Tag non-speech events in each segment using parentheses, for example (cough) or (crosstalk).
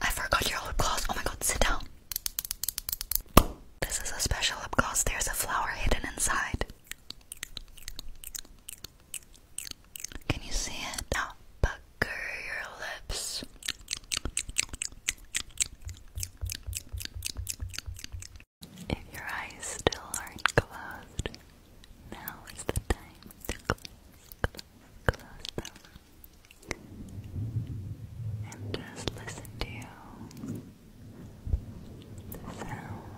I forgot your lip gloss. Oh my god, sit down. This is a special lip gloss. There's a flower hidden inside. Can you see it? Now your lips. If your eyes still aren't closed, now is the time close them and just listen to the sound.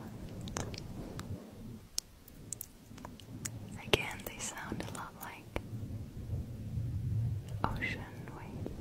Again, they sound a lot like ocean waves.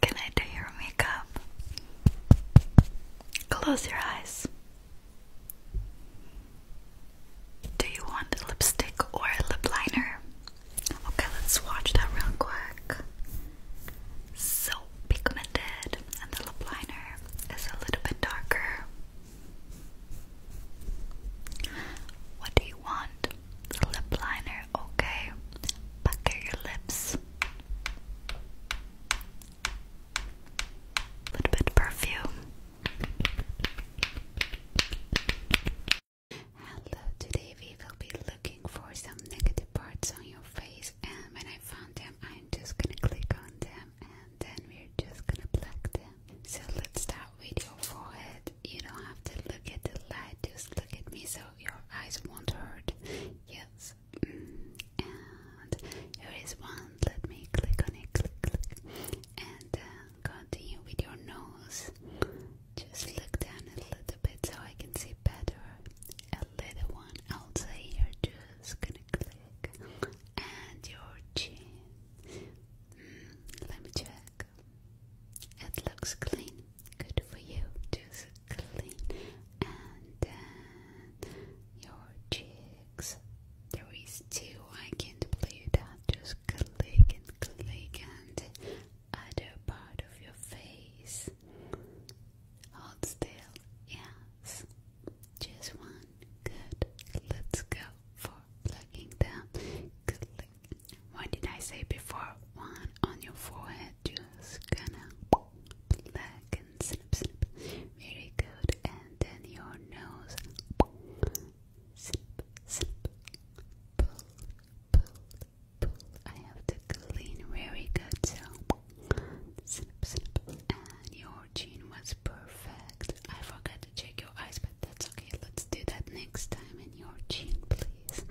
Can I do your makeup? Close your eyes. Do you want lipstick or lip liner? Okay, let's watch that real quick. So pigmented, and the lip liner is a little bit darker. What do you want? lip liner, okay. Pucker your lips. A little bit perfume. Hello, today we will be looking for some negative parts on your face um, and when I found them I'm just gonna click on them and then we're just gonna pluck them. So let's start with your forehead. You don't have to look at the light, just look at me so your eyes won't hurt. Yes. Mm. And here is one, let me click on it, click, click. And uh, continue with your nose. Just look down a little bit so I can see better. A little one also here, just gonna click. And your chin. Hmm, let me check. It looks clean. Good for you. Just clean. And your cheeks. There is two. I can't believe that. Just click and click and other part of your face. Hold still, yes. Just one. Good. Let's go for plugging them. What did I say before? One on your forehead. Just gonna pluck and snip, snip. Very good. And then your nose. Snip, snip. Pull, pull, I have to clean very good. So, snip, snip. And your chin was perfect. I forgot to check your eyes, but that's okay. Let's do that next time. And your chin, please.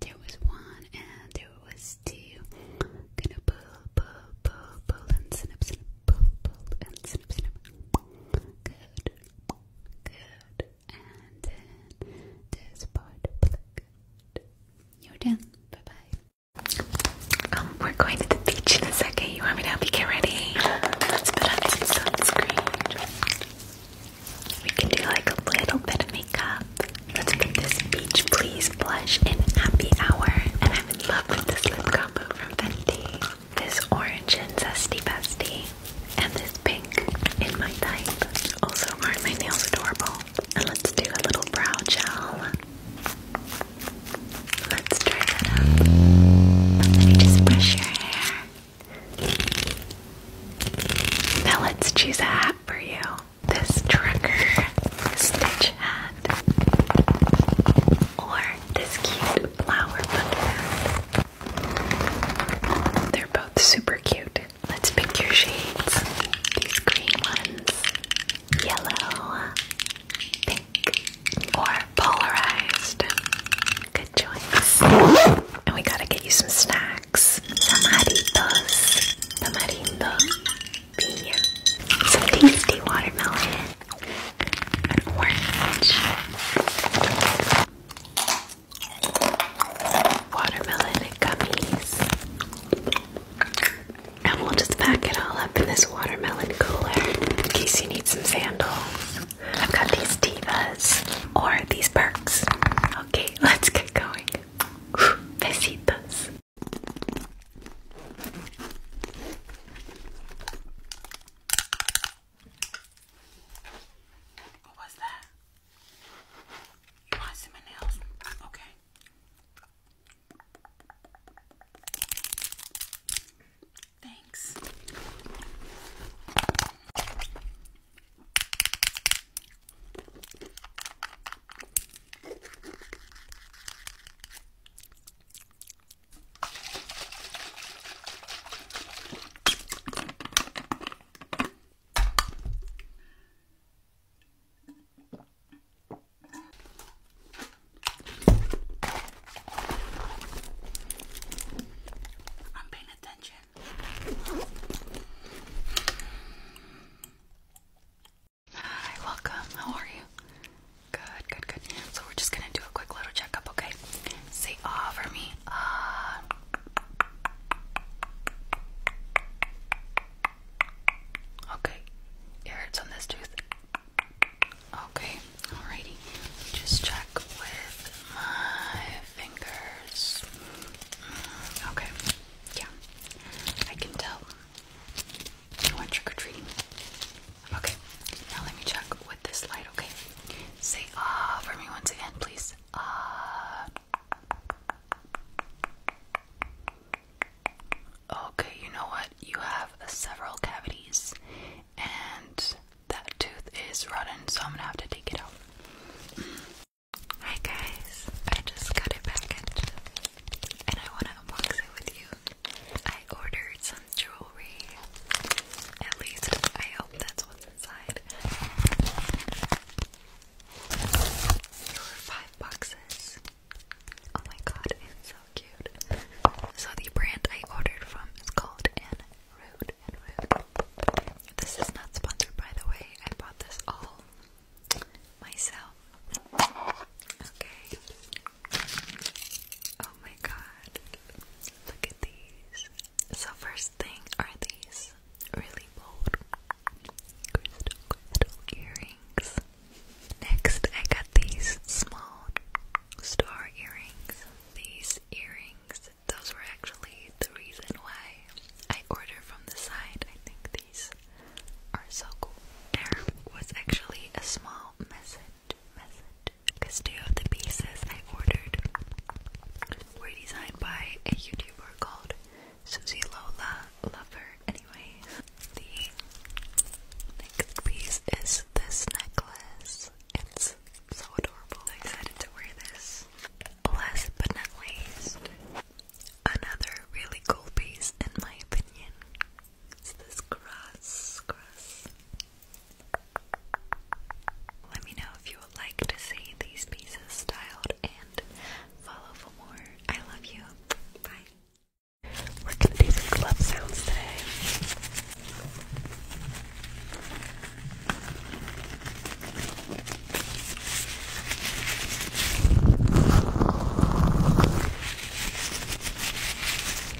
There was one, and there was two. Gonna pull, pull, pull, pull, and snip, snip, pull, pull, and snip, snip. Good, good and then this part You're done. Bye bye. Um, we're going to the beach in a second. You want me to help you get ready? Let's put on some sunscreen. We can do like a little bit of makeup. Let's get this beach please blush in happy hour. And I'm in love with this lip combo from Fenty. This orange and zesty bestie and this pink in my type also aren't my nails adorable? And let's do a little brow gel. Let's try that out. Let me just brush your hair. Now let's choose a hat for you. This trucker stitch hat. Or this cute flower hat. They're both super cute. Let's pick your shades. These green ones, yellow, pink, or polarized. Good choice. And we gotta get you some snacks. Tamaritos, tamarindo, piña, some tasty watermelon, orange watermelon and gummies. And we'll just pack it all up in this watermelon cooler in case you need some sandals. I've got these divas or these perks. Okay, (laughs) let's get going. Besitos. What was that? You want some nails? Okay. Thanks. Hi, welcome. How are you? Good, good, good. So we're just gonna do a quick little checkup, okay? Say ah for me. Ah. Okay. It on this tooth. Okay. Alrighty. Just check with my fingers. Mm, okay. Yeah. I can tell. You went trick or treating. Okay. Now let me check with this light okay. Say ah for me once again, please. Ah. Okay, you know what? You have several cavities, and that tooth is rotten, so I'm gonna have to take it out. Mm. Hi guys, I just got it back, and I wanna unbox it with you. I ordered jewelry. At least I hope that's what's inside. five boxes. Oh my god, it's so cute. So the brand I ordered from is called N This is not sponsored by the way. I bought this all myself. Okay. Oh my god. Look at these. So first thing are these really bold crystal earrings. Next I got these small star earrings. These earrings, those were actually the reason why I order from the side. I think these are so cool. There was actually a small message message. Because two of the pieces I ordered were designed by a YouTuber called Susie Lola Lover. Anyway, the next piece is this necklace. It's so adorable. I'm excited to wear this. Last but not least, another really cool piece in my opinion. It's this cross, cross let me know if you would like to see these pieces styled and follow for more. I love you. Bye. We're gonna do some glove sounds today.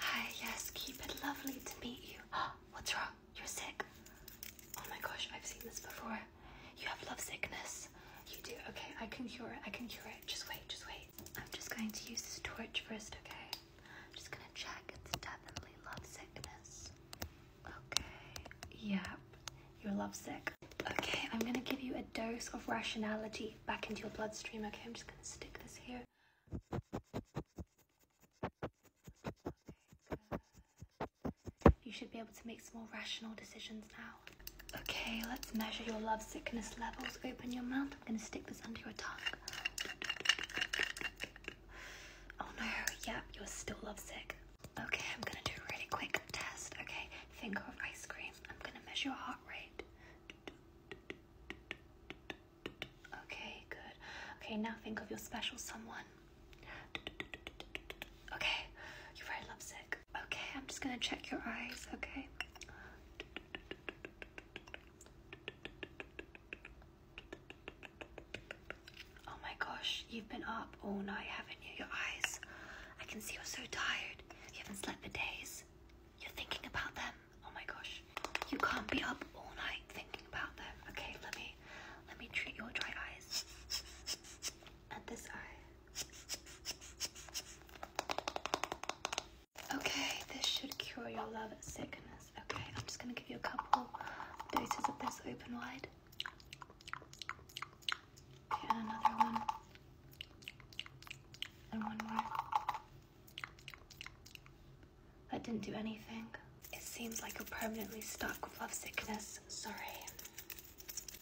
Hi, yes, keep lovely to meet you. (gasps) What's wrong? You're sick. Oh my gosh, I've seen this before. You have love sickness. You do. Okay, I can cure it. I can cure it. Just wait, just wait. I'm just going to use this torch first, okay? I'm just gonna check. It's definitely love sickness. Okay, yep, you're lovesick. Okay, I'm gonna give you a dose of rationality back into your bloodstream, okay? I'm just gonna stick this here. you should be able to make some more rational decisions now. Okay, let's measure your love sickness levels. Open your mouth. I'm gonna stick this under your tongue. Oh no, Yep, you're still lovesick. Okay, I'm gonna do a really quick test. Okay, finger of ice cream. I'm gonna measure your heart rate. Okay, good. Okay, now think of your special someone. Okay, you're very lovesick. Okay, I'm just gonna check your eyes, okay? Oh my gosh, you've been up all night, haven't you? Your eyes. I can see you're so tired. You haven't slept for days. You're thinking about them. Oh my gosh. You can't be up all night thinking about them. Okay, let me let me treat your dry eyes. And this eye. Okay, this should cure your love sickness. Okay, I'm just gonna give you a couple doses of this open wide. Okay, another one. And one more. That didn't do anything. It seems like you're permanently stuck with love sickness. Sorry.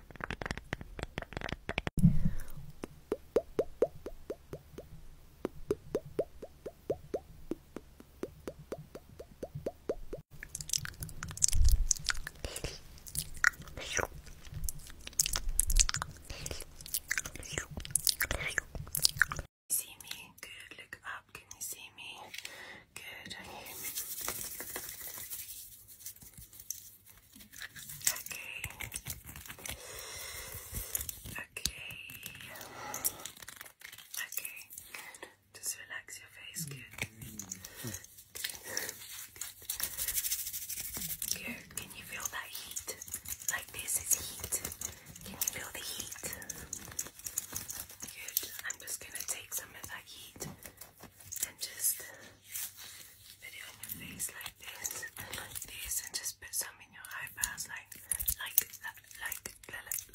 you see me? Good. Look up. Can you see me? Good. Okay. Okay. Good. Just relax your face. Good. Good. Can you feel that heat? Like this is heat. Can you feel the heat? Good. I'm just gonna take some of that heat and just put it on your face like this like this and just put some in your eyebrows like like like like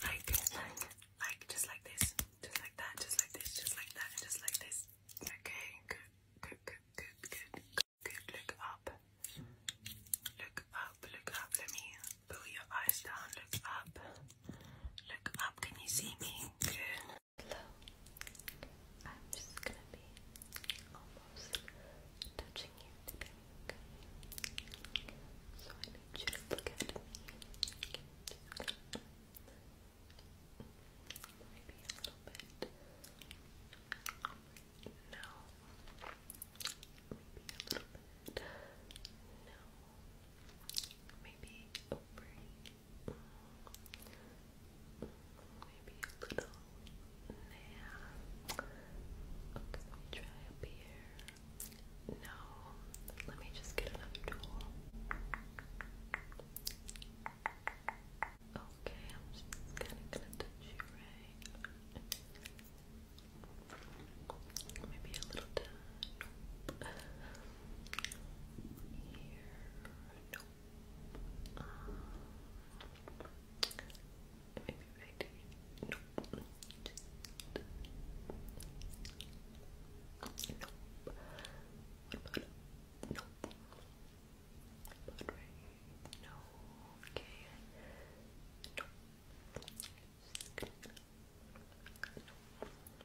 like like just like this just like that just like this just like that just like this okay look up look up look up let me pull your eyes down look up look up can you see me Hello. I'm just gonna be almost touching you today, So I need you to look at me. Maybe a little bit. No. Maybe a little bit. No. Maybe over Maybe a little nah. Okay, let me try up here. No. Let me just get another tool. Okay, I'm just kinda gonna touch you right. Maybe a little done. Nope. Um, maybe right here. Nope. Nope. What about nope? But right no okay. Nope. Just gonna, nope.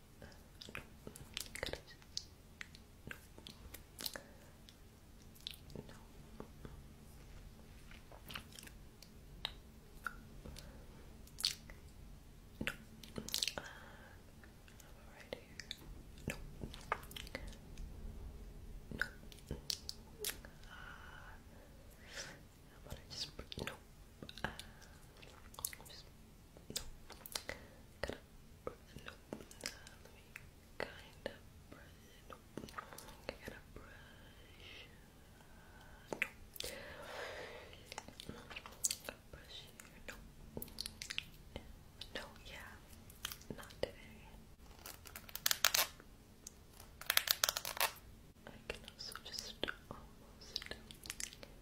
Could I No. No. No. No. No. Uh, how about I just... No. Uh, just... No. Nope. Uh, let me kind of brush it. Nope. I gotta brush. Uh, nope. Brush here. Nope. No, yeah. Not today. I can also just almost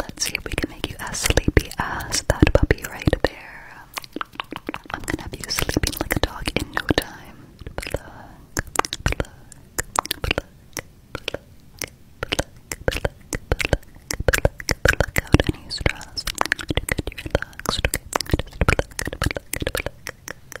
Let's see if we can make you as sleepy as that puppy right there. I'm gonna have you sleeping like a dog in no time. Pluck, pluck, pluck, pluck, pluck, pluck, pluck, pluck out any stress. To get you relaxed, okay? Just pluck, pluck, pluck,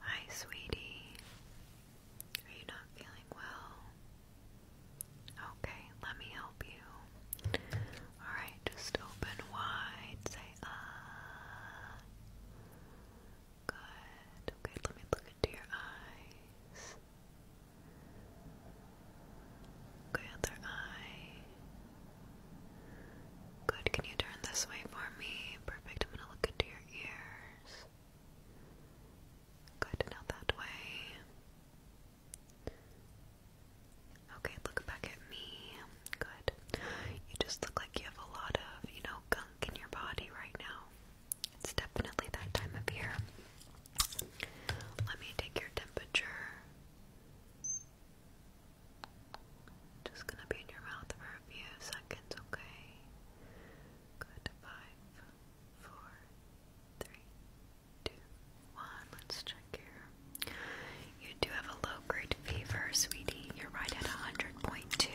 Hi, sweetie. Are you not feeling well? Okay, let me help you. Alright, just open wide, say ah. Good. Okay, let me look into your eyes. Good other eye. Good, can you turn this way for me? Perfect. I'm gonna look into your ears. Good, now that way. Okay, look back at me. Good. You just look like you have a lot of, you know, gunk in your body right now. It's definitely that time of year. Let me take your temperature. Just gonna be in your mouth for a few seconds, okay? Good, five, four, three, two, one. Let's check here. You do have a low grade fever, sweetie. You're right at 100.2.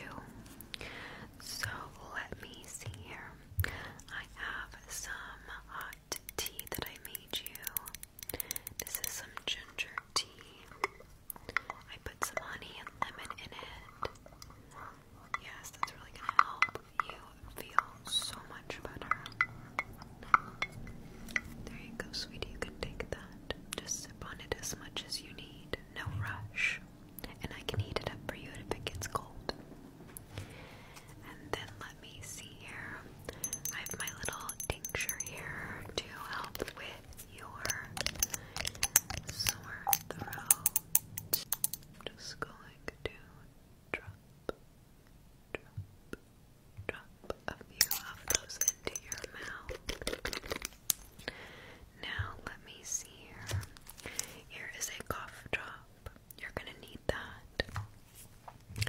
So let me see here. I have some hot tea that I made you. This is some ginger tea. I put some honey and lemon in it. Yes, that's really gonna help you feel so much better. There you go, sweetie. You can take that. Just sip on it as much as you need. No rush. And I can heat it up for you if it gets cold. And then let me see here. I have my little tincture here to help with your sore throat. Just going to drop, drop, drop a few of those into your mouth. Now, let me see here. Here is a cough drop. You're gonna need that.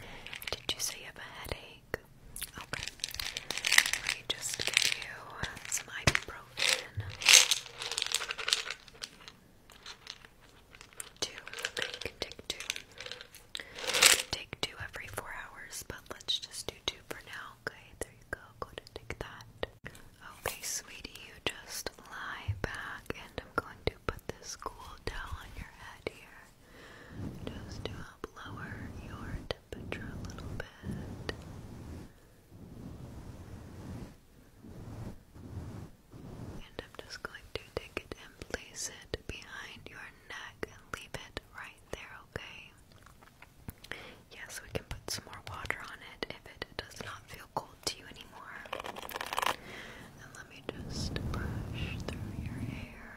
Did you say you have a headache? Okay. Let just give you some ibuprofen two. take two. take two every four hours, but let's just do two for now. Okay, there you go. Go to take that. Okay, sweetie, you just lie back, and I'm going to put this cool towel on your head here. Just to help lower your temperature a little bit. And I'm just going to take it and place it behind your neck and leave it right there, okay? Yes, we can put some more water on it if it does not feel cold to you anymore. And let me just brush through your hair.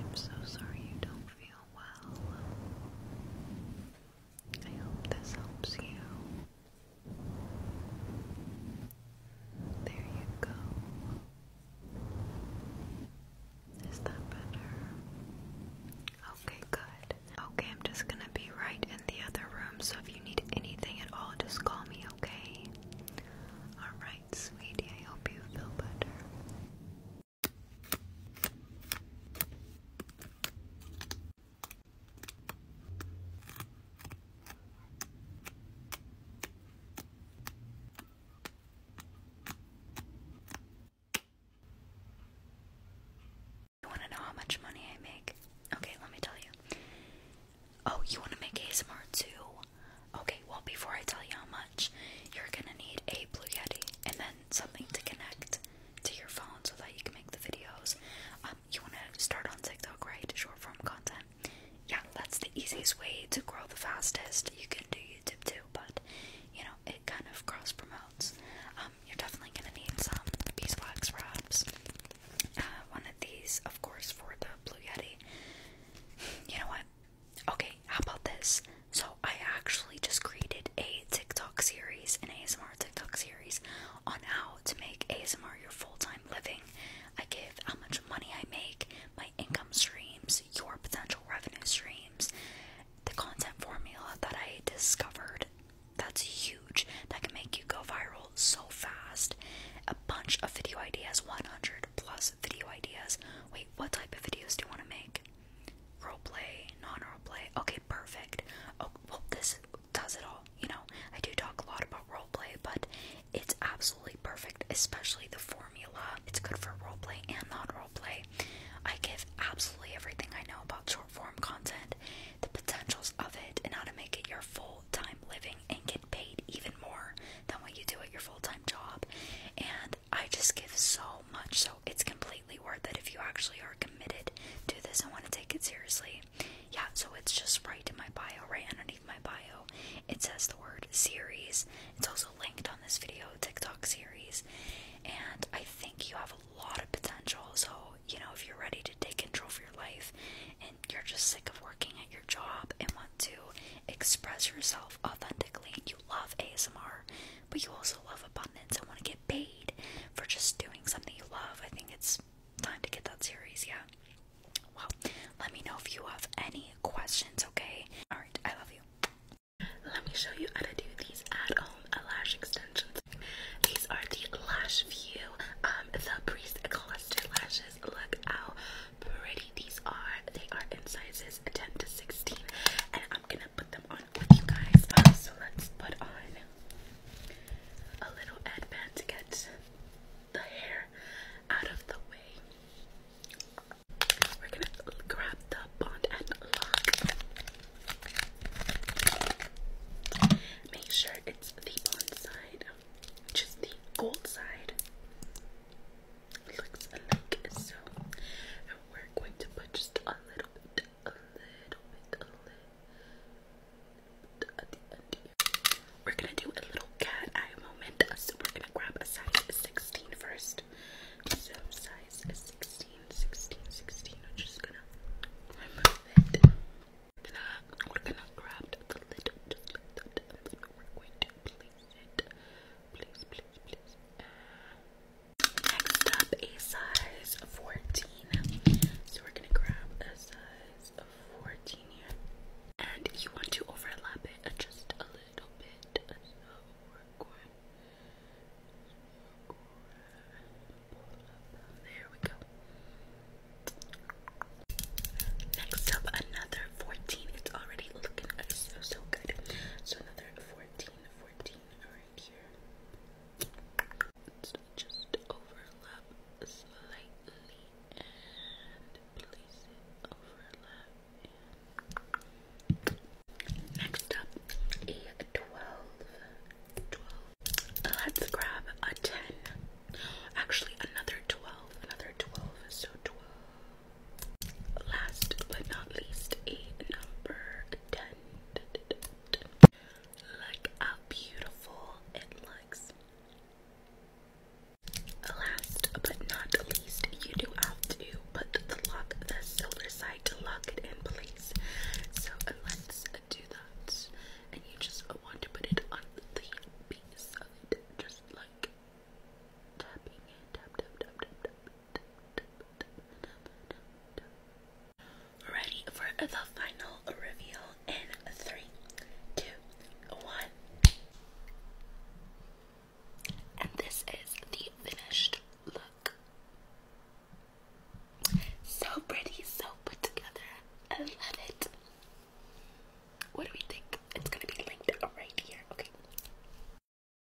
I'm so sorry you don't feel well. I hope this helps you. There you go. Is that better? Okay, good. Okay, I'm just gonna be right in the other room, so if you need anything at all, just call me, okay? Alright, sweetie, I hope you feel better. You want to know how much money I make? Okay, let me tell you. Oh, you want to make ASMR too? Okay, well, before I tell you how much, you're gonna need a Blue Yeti and then something to connect to your phone so that you can make the videos. Um, you want to start on TikTok, right? Short form content. Yeah, that's the easiest way to grow the fastest. You can do YouTube too, but you know, it kind of cross promotes. Um, you're definitely gonna need some beeswax wraps. Uh, one of these, of course, for the Blue Yeti. You know what? Okay, how about this? So I actually just created a TikTok series, an ASMR TikTok series, on how to make ASMR your full time living. I give how much money I make, my income streams, your potential revenue streams, the content formula that I discovered that's huge, that can make you go viral so fast. A bunch of video ideas, 100 plus video ideas. Wait, what type of videos do you want to make? Role play, non-role play. Okay, perfect. Oh, well, this does it all. You know, I do talk a lot about role play, but it's absolutely perfect, especially the formula. It's good for role play and non-role play. I give absolutely everything I know about short-form content, the potentials of it, and how to make it your full-time living and get paid even more than what you do at your full-time job. And I just give so much, so it's completely worth it if you actually are committed to this and want to take it seriously. Yeah, so it's just right in my bio, right underneath my bio. It says the word series. It's also linked on this video, TikTok series. And I think you have a lot of potential. So, you know, if you're ready to take control of your life and you're just sick of working at your job and want to express yourself authentically, and you love ASMR, but you also love abundance I want to get paid for just doing something you love. I think it's time to get that series, yeah. Well, let me know if you have any questions, okay? Alright, I love you. Let me show you how to do these at home lash extensions. These are the Lash View, um, the Breeze Cluster Lashes. Look how pretty these are. They are in sizes 10 to 16, and I'm gonna put them them on with you guys. Uh, so let's put on a little ad headband to get the hair out of the way. We're gonna grab the bond and lock. Make sure it's the bond side, which is the gold side. Looks like so. And we're going to put just a little bit a little bit, We're gonna do a little cat eye moment. So we're gonna grab a size 16 first. So size 16, 16, 16. I'm just gonna remove it. we're gonna grab the lid, we're going to place Please, please, please. Next up, a size 14. So we're gonna grab a size 14 here. And you want to overlap it just a little bit. There we go. Next up, another 14. It's already looking so, so good. So another 14, 14 right here. just overlap slightly and place it overlap. next up, a 12. 12. Let's grab a 10. Actually, another 12. Another 12. So 12. Last but not least, a number 10. Look beautiful it looks. Last but not least, you do have to put the lock, the silver side, to lock it in place. So let's do that. And you just want to put it on the piece of just like tapping tap, tap, tap, tap. Ready for the final reveal in three, two, one. And this is the finished look. So pretty, so put together. I love it. What do we think? It's gonna be linked right here. Okay.